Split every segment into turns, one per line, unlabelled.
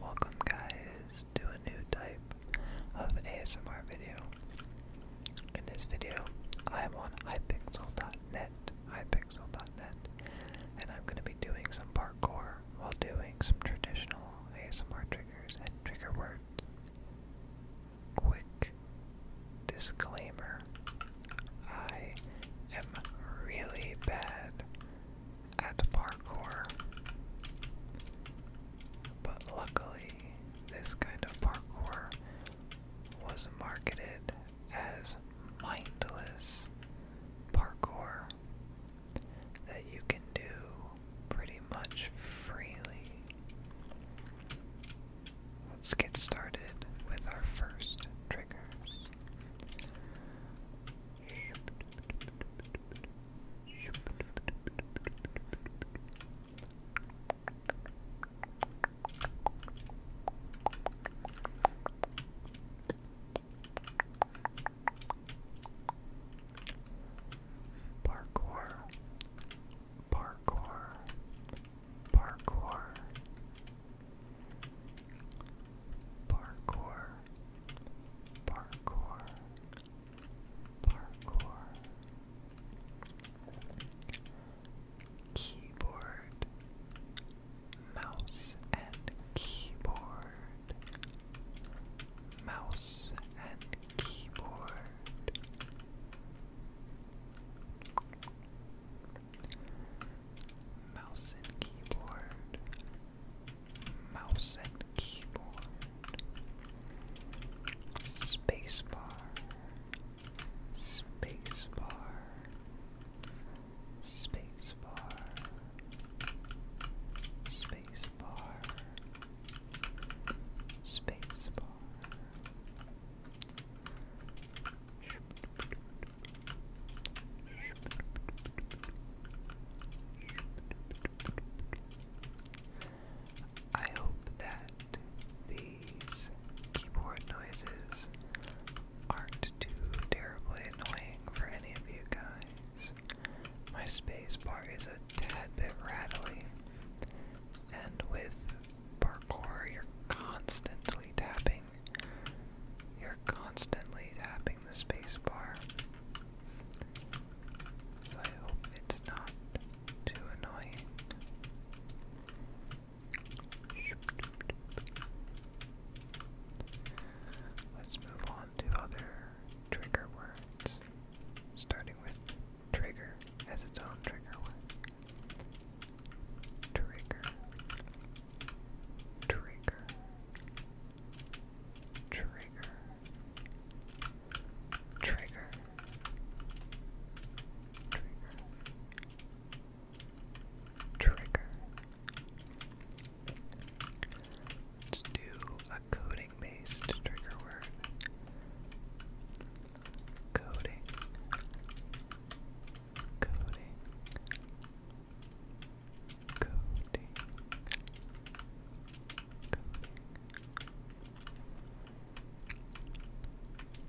Welcome guys to a new type of ASMR video. In this video, I am on hypixel.net, hypixel.net, and I'm going to be doing some parkour while doing some traditional ASMR triggers and trigger words. Quick disclaimer. I am really bad at parkour. But luckily, this kind of parkour was marketed as mindless parkour that you can do pretty much freely. Let's get started with our first triggers. Parkour, parkour, parkour, Parkour, parkour, parkour. Keyboard, mouse and keyboard, mouse and keyboard. Mouse and keyboard. Mouse and keyboard. Spacebar. Spacebar. Spacebar. Spacebar. Spacebar. I hope that these keyboard noises aren't too terribly annoying for any of you guys. My space is a tad bit rattly, and with parkour, you're constantly tapping you're constantly tapping the spacebar. So I hope it's not too annoying. Let's move on to other trigger words, starting with trigger as its own trigger word. Trigger. Trigger. Trigger. Trigger. Trigger. Trigger. Let's do a coding based trigger word. Coding coding, coding, coding.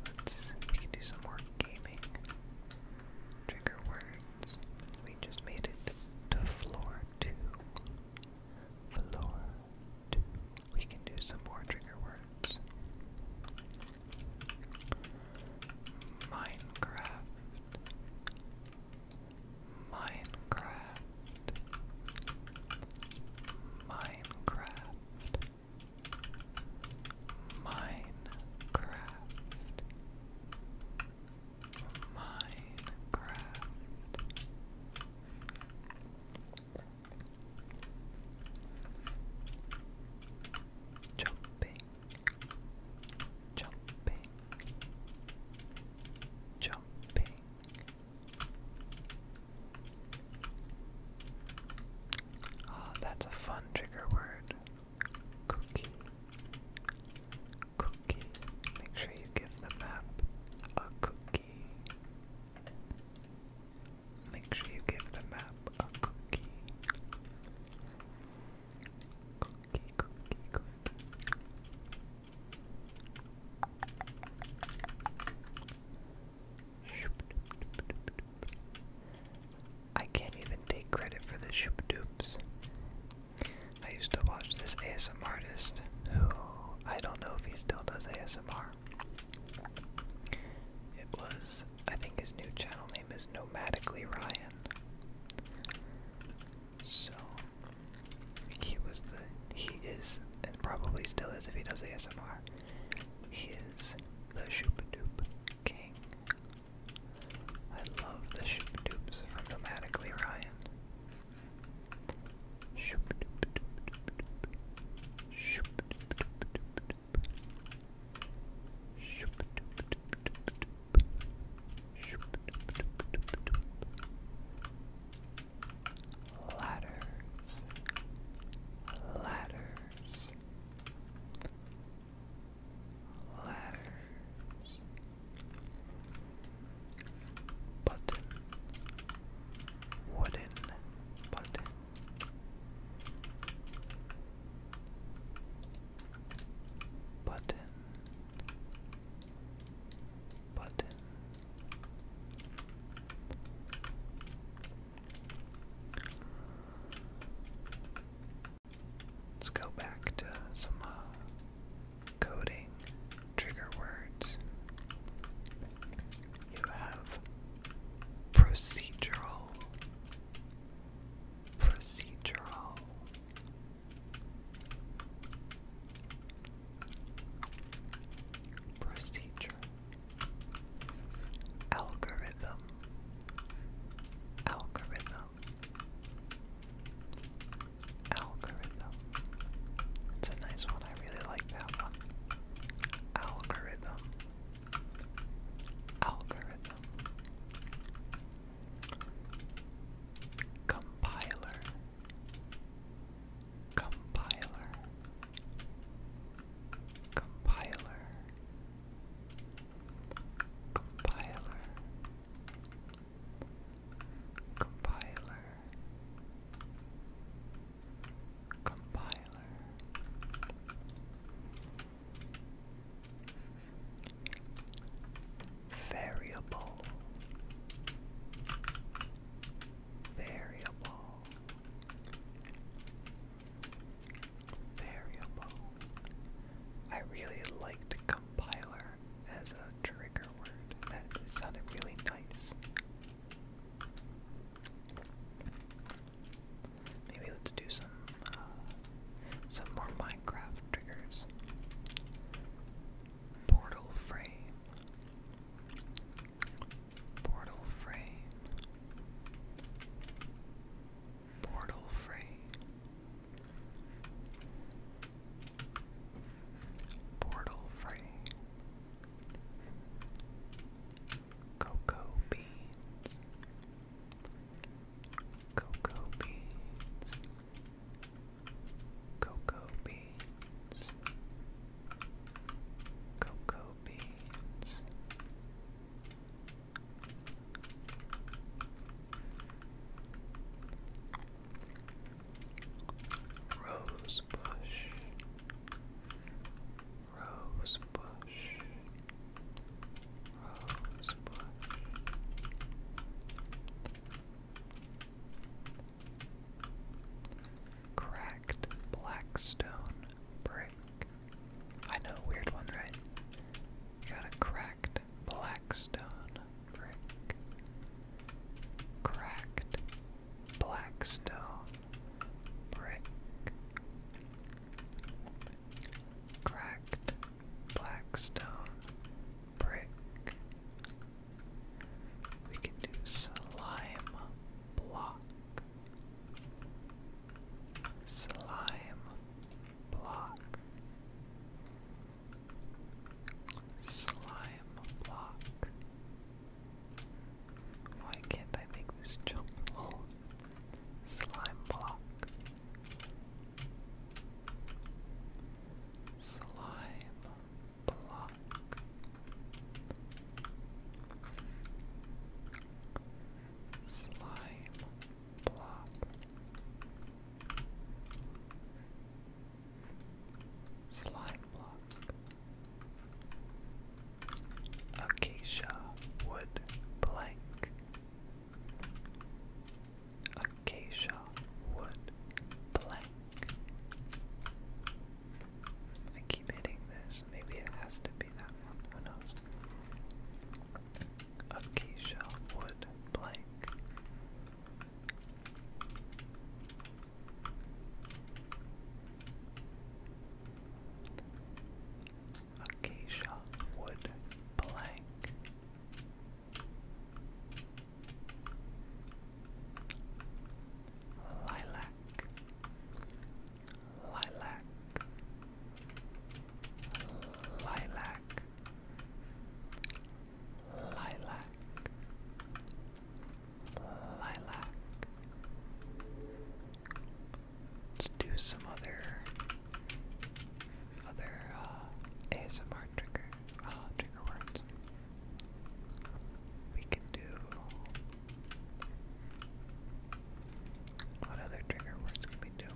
Let's, do some more gaming. Trigger words. We just made it to floor two. Floor two we can do some more trigger words. Minecraft. Minecraft. Minecraft. Minecraft. Minecraft. Jumping, jumping, jumping. Ah, that's a fun trigger word. Cookie, cookie. Make sure you give the map a cookie. Make sure you give the map a cookie. Cookie, cookie, cookie. I can't even take credit for the shoop dupes. I used to watch this ASMR artist who I don't know if he still does ASMR, it was, I think his new channel name is Nomadically Ryan. So he was the, he is, and probably still is if he does ASMR, he is the Shoopadoop King. I love the Shoopadoops from Nomadically Ryan. Ladders, ladders, ladders, button, wooden button. Button, button. Let's go back to some uh, coding trigger words. You have procedural, procedural, procedure, algorithm, algorithm, Algorithm. It's a nice one. I really like that one. Algorithm. Algorithm. Compiler. Compiler. Compiler. Compiler compiler compiler variable variable variable I really liked compiler as a trigger that sounded really nice. Maybe let's do some uh, some more Minecraft triggers. Portal frame. Portal frame. Portal frame. Portal Free, Cocoa Beans, Cocoa Beans, Cocoa Beans, Cocoa Beans. Rosebush, Rosebush, Rosebush. Cracked blackstone brick. I know, weird one, right? Got a cracked blackstone brick. Cracked blackstone brick. Cracked blackstone brick. We can do slime block. Slime block. Slime block. Why can't I make this jump? slime block. Slime block. Slime Plop. Slime block. Acacia wood plank. Acacia wood plank. I keep hitting this. Maybe it has to be that one. Acacia wood plank. Acacia wood plank. Lilac, lilac, lilac, lilac, lilac. Let's do some other, other uh, ASMR trigger, uh, trigger words. We can do. What other trigger words can we do?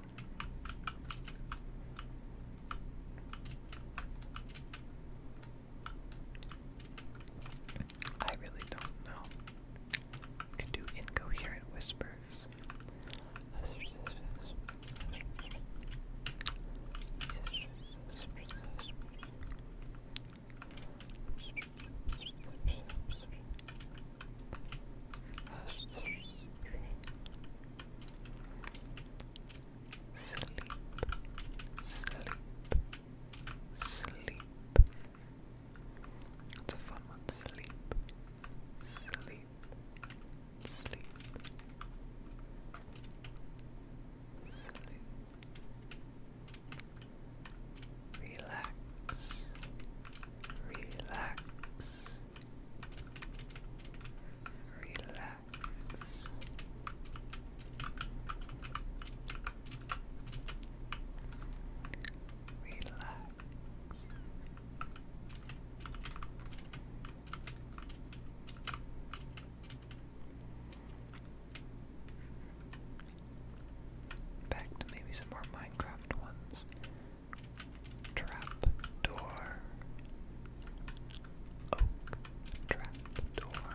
I really don't know. Can do incoherent whispers. Sleep, sleep, sleep. It's a fun one. Sleep, sleep, sleep, sleep. relax, Relax. Relax. Relax. Back to maybe some more Minecraft ones trap door, oak trap door,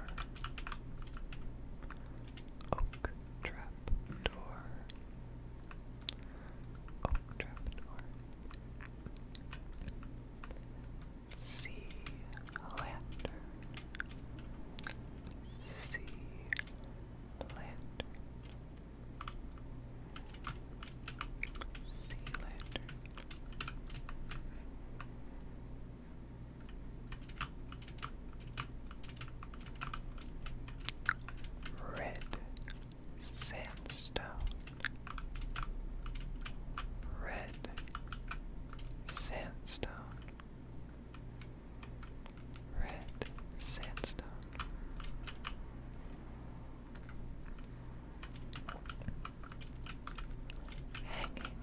oak trap door, oak trap door. Sea lantern, sea lantern, Sea Red sandstone. Red sandstone. Red sandstone. Hanging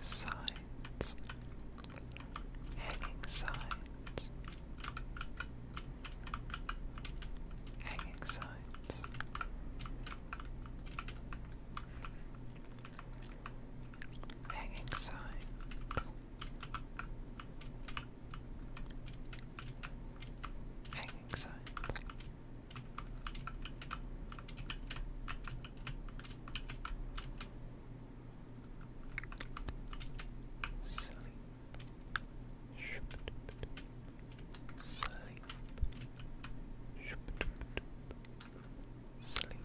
signs. Hanging signs. Hanging signs. Hanging signs. Hanging signs. Sleep. Sleep. Sleep. Sleep